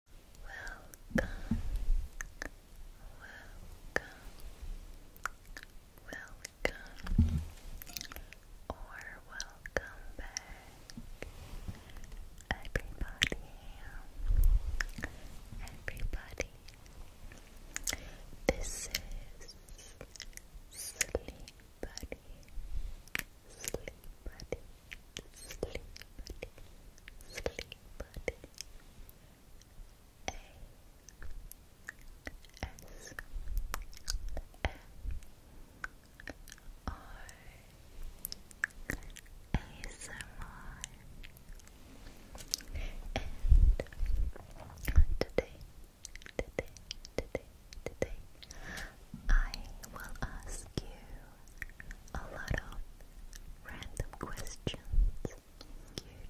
Welcome, welcome, welcome, or welcome back, everybody, everybody. This is Sleep Buddy, Sleep Buddy, Sleep Buddy, Sleep put A S M R ASMR and today, today, today, today I will ask you a lot of random questions. You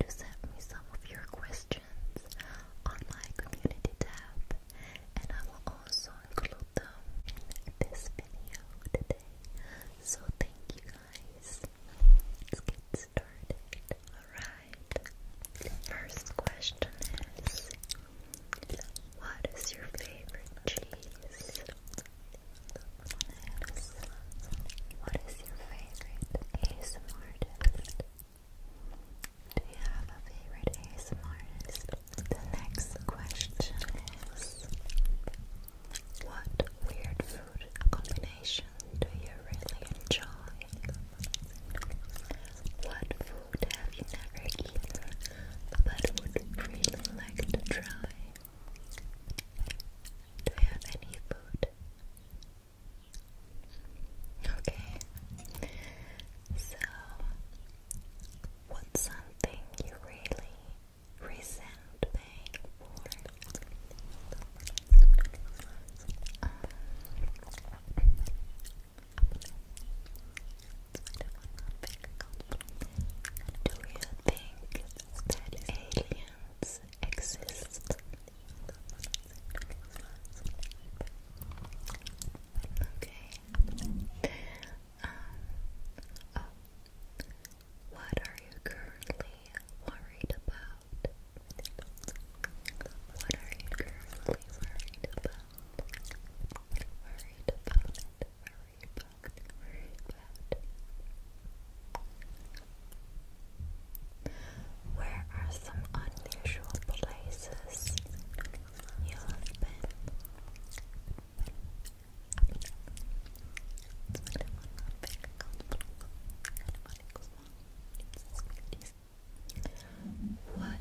to send me some of your questions on my community tab, and I will also include them in this video today. So thank you guys. Let's get started. Alright. first question is what is your favorite cheese? What is your favorite ASMR Do you have a favorite ASMR The next question is What weird food combination do you really enjoy? What food have you never eaten but would really like to try? Do you have any food? Okay. So, what's something you really resent paying for? Um, do you think that aliens exist. Okay. Um, oh. What are you currently worried about? What are you currently worried about? Worried about worry Where are some unusual places you have been? What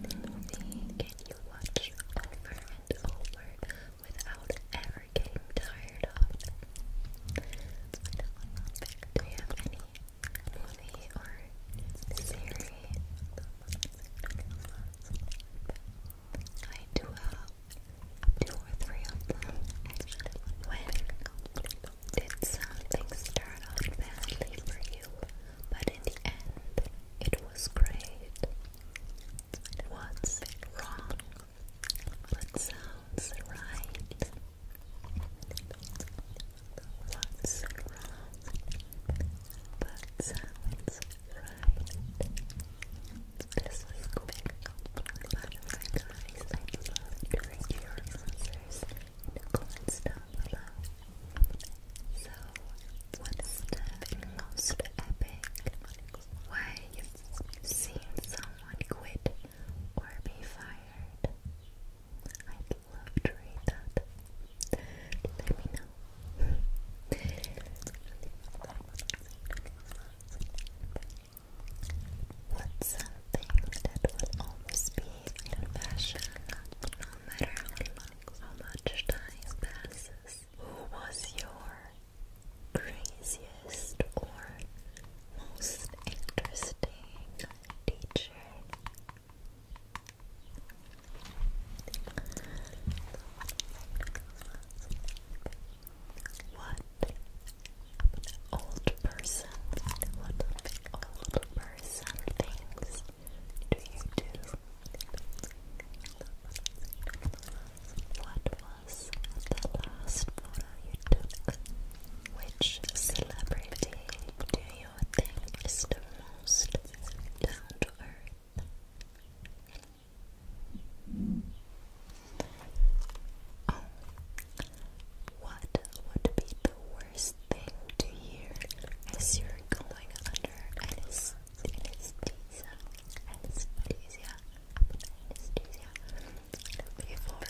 movie can you watch over and over without ever getting tired of them. I do you have any movie or series? I do have two or three of them. When did something start off badly for you, but in the end it was great? What's wrong? What sounds right? What's wrong? What sounds right? This was a quick butterfly guys. I love doing your answers in the comments down below. So, what is the most epic way see someone quit or be fired? I'd love to read that. Let me know. something that will always be in no matter how much time passes? who was your craziest or most interesting teacher? What old person, what old person things do you do? What was the last photo you took? Which celebrity do you think is the most down oh, What would be the worst thing to hear as you're going under Anesthesia anesthesia before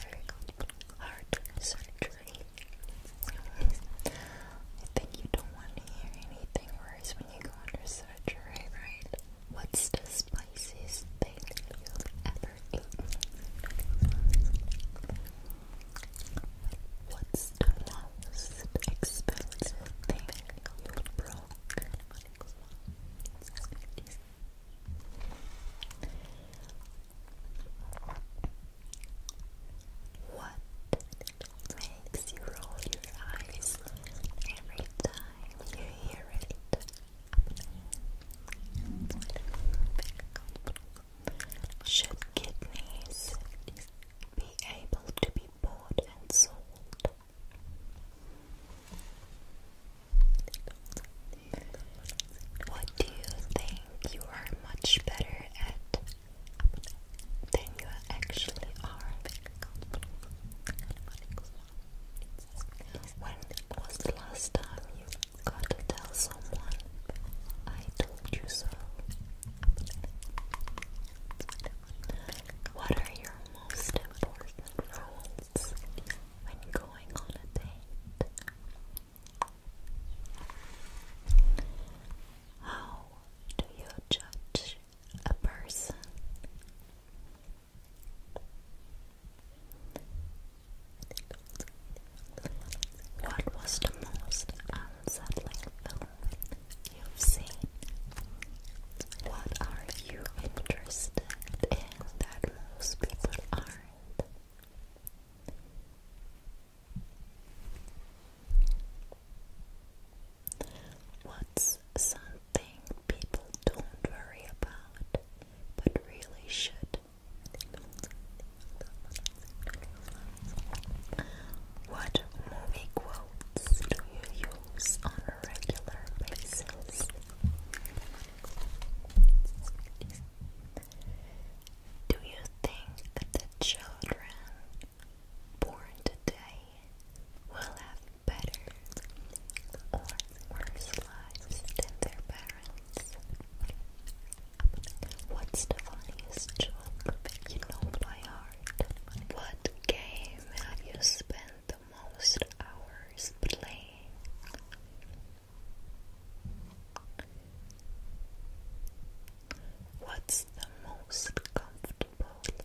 heart surgery. I think you don't want to hear anything worse when you go under surgery, right? What's the spiciest thing you've ever eaten? What's the most expensive thing you broke? 50s. What makes you roll your eyes every time you hear it? Should kidneys be able to be bought and sold? What do you think you are much better at than you actually are? When was the last time you got to tell someone I told you so? What are your most important rules when going on a date? How do you judge a person? What was the most unsettling film you've seen? What are you interested in that most people aren't? What's something people don't worry about but really should? What movie quotes do you on a regular basis. Do you think that the children born today will have better or worse lives than their parents? What's the funniest joke you know by heart? What game have you spent most hours playing. What's the most comfortable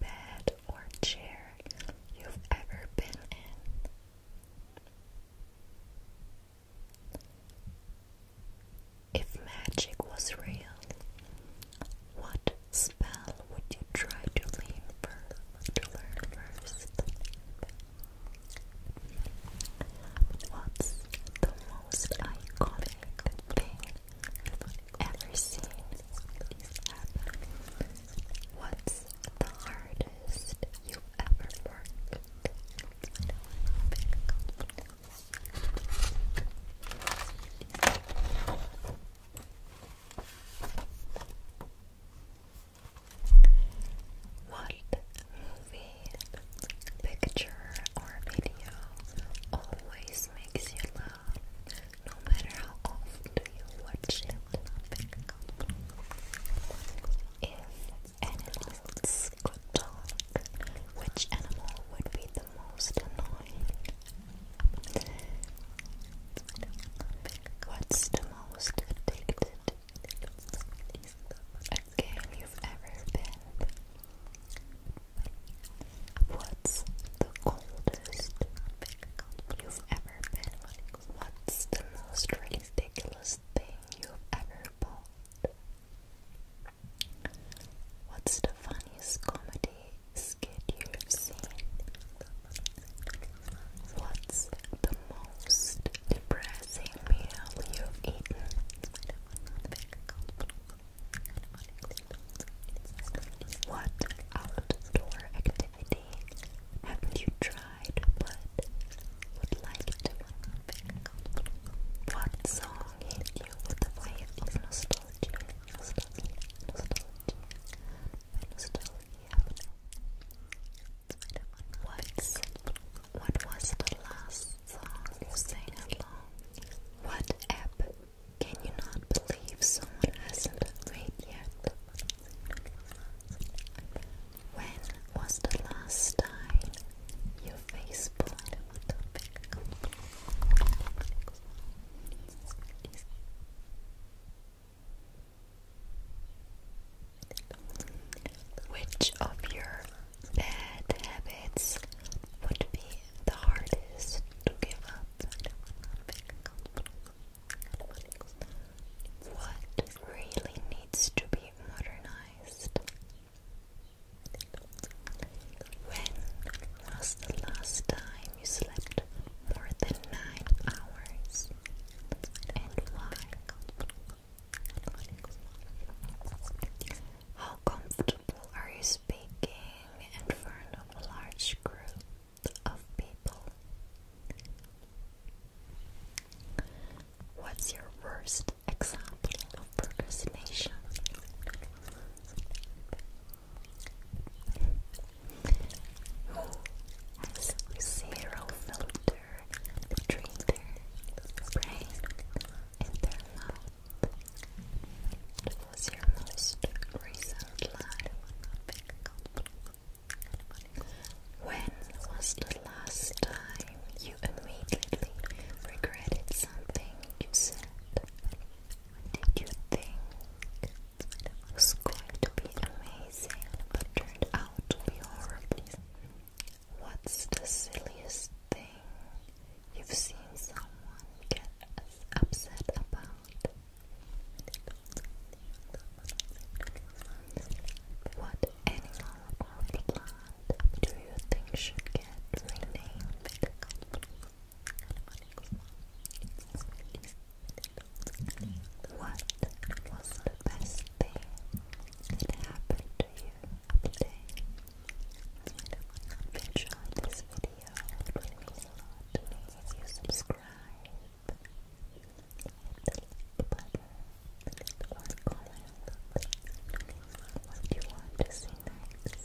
bed or chair you've ever been in? If magic was real, what spell would you try to learn first? To learn first? What's the most iconic thing you've ever seen What's the hardest you've ever worked? What movie, picture, or video always makes you laugh, no matter how often you watch it? If animals could talk, which animal would be the most annoying? What's the most addicted game you've ever been? What's the coldest you've ever been? What's the most ridiculous thing you've ever bought? What's the funniest comedy skit you've seen? What's the most depressing meal you've eaten? What outdoor activity haven't you tried but would like to? What song hit you with a wave of nostalgia. What's, what was the last song you sang along? What app? Can you not believe someone hasn't agreed yet? When was the last time you Facebook? Which of your bad habits would be the hardest to give up? What really needs to be modernized? When was the last time you slept more than 9 hours and why? How comfortable are you speaking in front of a large group of people? What's your worst example of procrastination? who has zero filter between brain and their mouth. What was your most recent line When was the last time you immediately regretted something you said? did you think it was going to be amazing, but turned out to be horrible. What's the silliest thing you've seen someone get upset about? What animal or plant do you think should get renamed? What was the best thing that happened to you today? If you enjoyed this video, it would a lot to me if you subscribe, the like or comment what you want to see next.